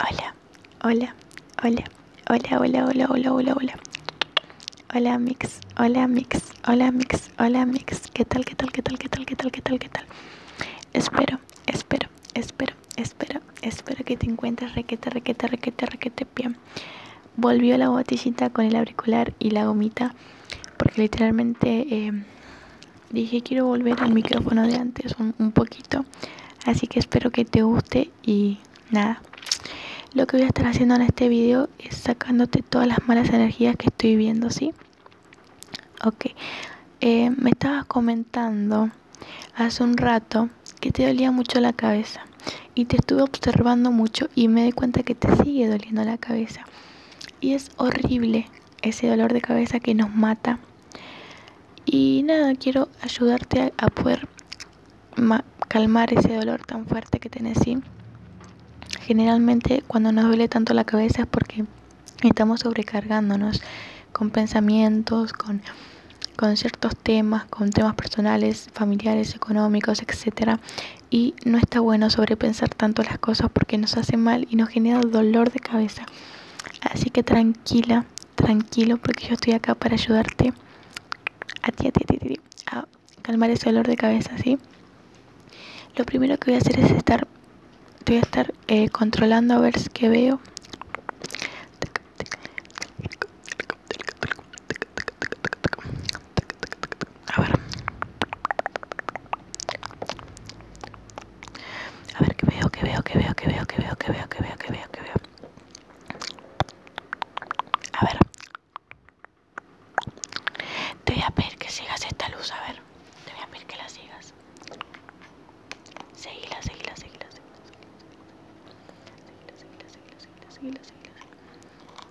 Hola, hola, hola, hola, hola, hola, hola, hola, hola. Hola Mix, hola Mix, hola Mix, hola Mix. ¿Qué tal, qué tal, qué tal, qué tal, qué tal, qué tal, qué tal? Espero, espero, espero, espero, espero que te encuentres requete, requete, requete, requete bien. Volvió la botellita con el auricular y la gomita porque literalmente... Eh, dije quiero volver al micrófono de antes un, poquito. Así que espero que te guste y nada. Lo que voy a estar haciendo en este video es sacándote todas las malas energías que estoy viendo, ¿sí? Ok. Eh, me estabas comentando hace un rato que te dolía mucho la cabeza. Y te estuve observando mucho y me di cuenta que te sigue doliendo la cabeza. Y es horrible ese dolor de cabeza que nos mata. Y nada, quiero ayudarte a, poder calmar ese dolor tan fuerte que tenés. ¿sí? Generalmente cuando nos duele tanto la cabeza es porque estamos sobrecargándonos con pensamientos, con, con ciertos temas, con temas personales, familiares, económicos, etcétera y no está bueno sobrepensar tanto las cosas porque nos hace mal y nos genera dolor de cabeza. Así que tranquila, tranquilo, porque yo estoy acá para ayudarte a ti, a ti, a calmar ese dolor de cabeza, ¿sí? Lo primero que voy a hacer es estar, voy a estar eh, controlando a ver qué veo. A ver. A ver qué veo, qué veo, qué veo, qué veo, qué veo, qué veo, qué veo, qué veo, que veo. A ver. Te voy a pedir que sigas esta luz, a ver. Te voy a pedir que la sigas. Seguila, seguila, seguila, seguila. Seguila, seguila, seguila, seguila, seguila, seguila.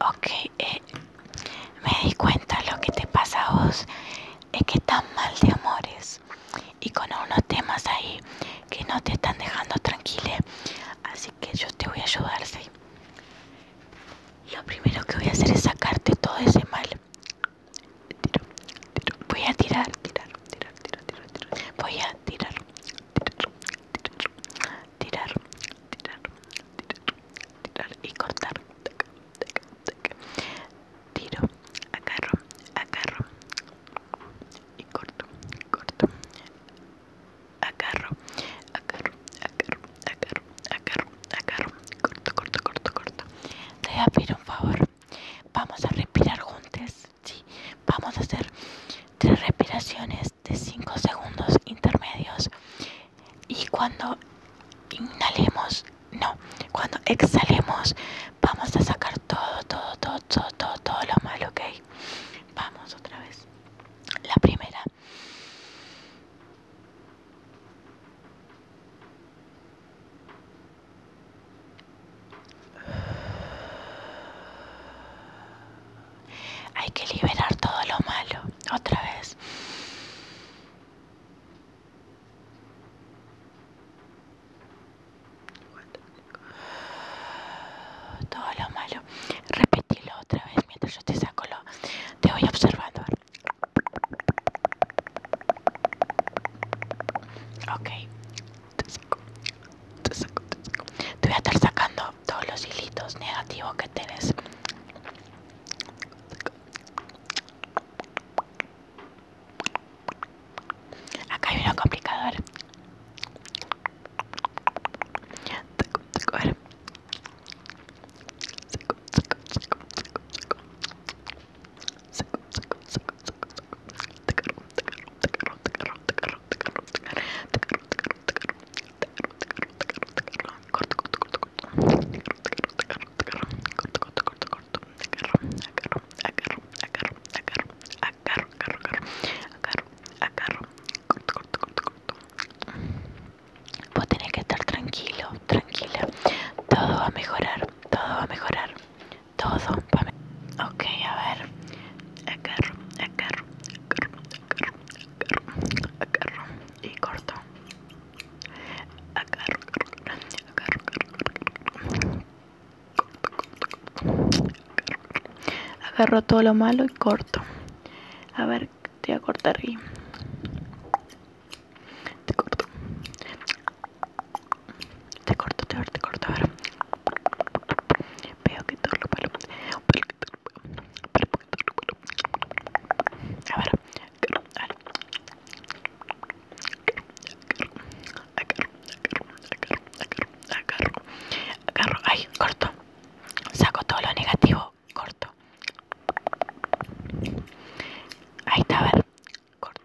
Ok, eh, me di cuenta lo que te pasa a vos es que estás mal de amores y con unos temas ahí que no te están dejando tranquila. Así que yo te voy a ayudar, ¿sí? Lo primero que voy a hacer es sacarte todo ese mal. Tiro, Voy a tirar, tirar, tirar, tirar, tirar, Voy a tirar, tirar, tirar, tirar, tirar, tirar, tirar y cortar. Tiro, agarro, agarro y corto, corto. Agarro, agarro, agarro, agarro, agarro, agarro. Corto, corto, corto, corto. Te voy a pedir un favor. Vamos a respirar juntas, Sí, vamos a hacer tres respiraciones de 5 segundos intermedios y cuando inhalemos, no, cuando exhalemos vamos a sacar todo, todo, todo, todo, todo, todo lo malo, ¿ok? Vamos otra vez. La primera. Hay que liberar todo lo malo. Otra vez. Todo lo malo. Repetilo otra vez mientras yo te saco lo. Te voy observando. Ok. Te saco. Te saco. Te voy a estar sacando todos los hilitos negativos que ves Acá hay uno complicador. Vos tenés que estar tranquilo, tranquila. Todo va a mejorar, todo va a mejorar. Todo Ok, a ver. Agarro, agarro, agarro, agarro, agarro, agarro y corto. Agarro, agarro, agarro, agarro. Agarro todo lo malo y corto. A ver, te voy a cortar aquí. Te corto. Te corto, te corto, te corto. Veo que todo lo palo. A ver. Agarro, agarro, agarro, agarro, agarro, ay, corto, saco todo lo negativo, corto, ahí está, a ver, corto.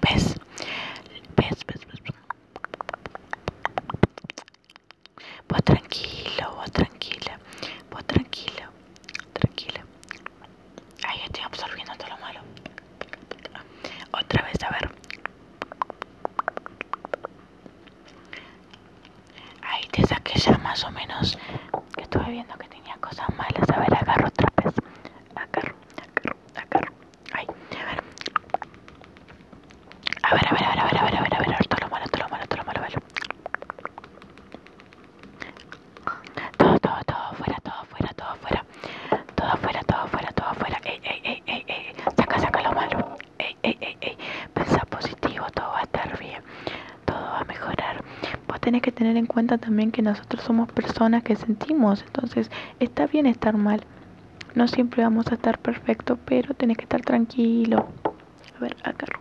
¿Ves? ¿Ves? ¿Ves? Vos tranquilo, vos tranquila, vos tranquilo, tranquila. Ahí estoy absorbiendo todo lo malo. Otra vez, a ver. Ahí te saqué ya más o menos que estuve viendo que tenía cosas malas. A ver, agarro otra vez. Agarro, agarro, agarro. Ay, a ver. A ver, a ver, a ver, a ver, a ver, a ver, a ver, a ver, todo lo malo, todo lo malo, todo lo a ver. Todo, todo, todo, fuera, todo, fuera, todo, fuera. Todo afuera, todo afuera, todo afuera. Ey, ey, ey, ey, Saca, saca lo malo. Ey, ey, ey, ey. Pensá positivo, todo va a estar bien. Todo va a mejorar. Vos tenés que tener en cuenta también que nosotros somos personas que sentimos. Entonces, está bien estar mal. No siempre vamos a estar perfecto, pero tenés que estar tranquilo. A ver, agarro,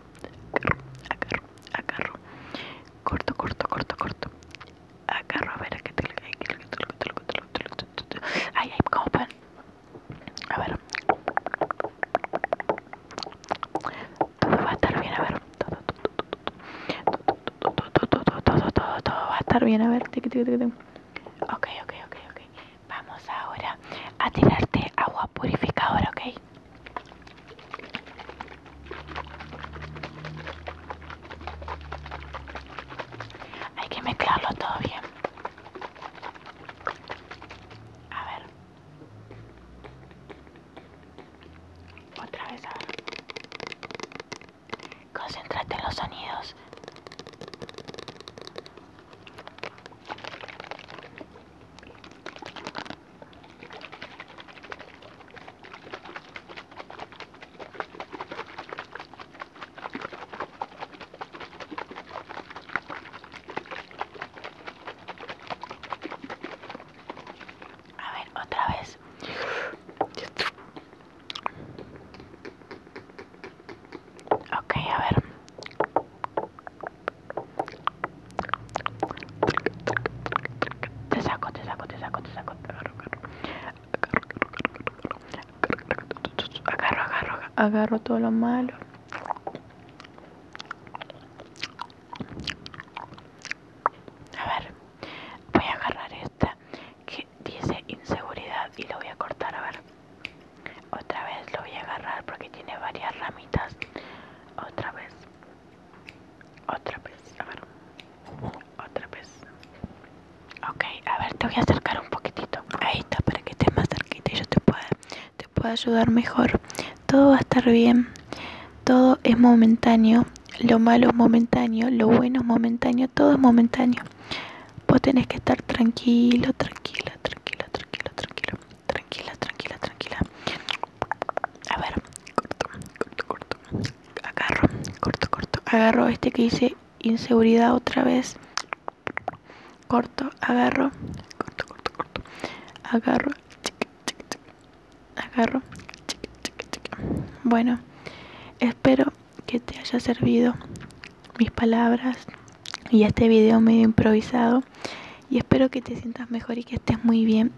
agarro, agarro, agarro. Corto, corto, corto, corto agarro a ver que ay, ay, A ver, todo va a estar bien. A ver, todo, todo, todo, todo, todo, todo, todo va a estar bien. A ver, ok, ok, ok, ok. Vamos ahora a tirarte agua purificadora, ok. Hay que mezclarlo todo bien. A ver. Otra vez, a ver. Concéntrate en los sonidos. A ver, otra vez. Ok, a ver. Te saco, te saco, te saco, te saco agarro, agarro, agarro, agarro todo lo malo. A ver, voy a agarrar esta que dice inseguridad y lo voy a cortar. A ver, otra vez lo voy a agarrar porque tiene varias ramitas. Otra vez. Otra vez, a ver. Otra vez. Ok, a ver, te voy a acercar un poquitito. Ahí está, para que estés más cerquita y yo te pueda, te pueda ayudar mejor. Todo va a estar bien. Todo es momentáneo. Lo malo es momentáneo. Lo bueno es momentáneo. Todo es momentáneo. Vos tenés que estar tranquilo, tranquila, tranquila, tranquilo, tranquila. Tranquila, tranquila, tranquila. A ver, corto, corto, corto. Agarro, corto, corto. Agarro este que dice inseguridad otra vez. Corto, agarro. Corto, corto, corto. Agarro. Agarro. Bueno, espero que te haya servido mis palabras y este video medio improvisado. Y espero que te sientas mejor y que estés muy bien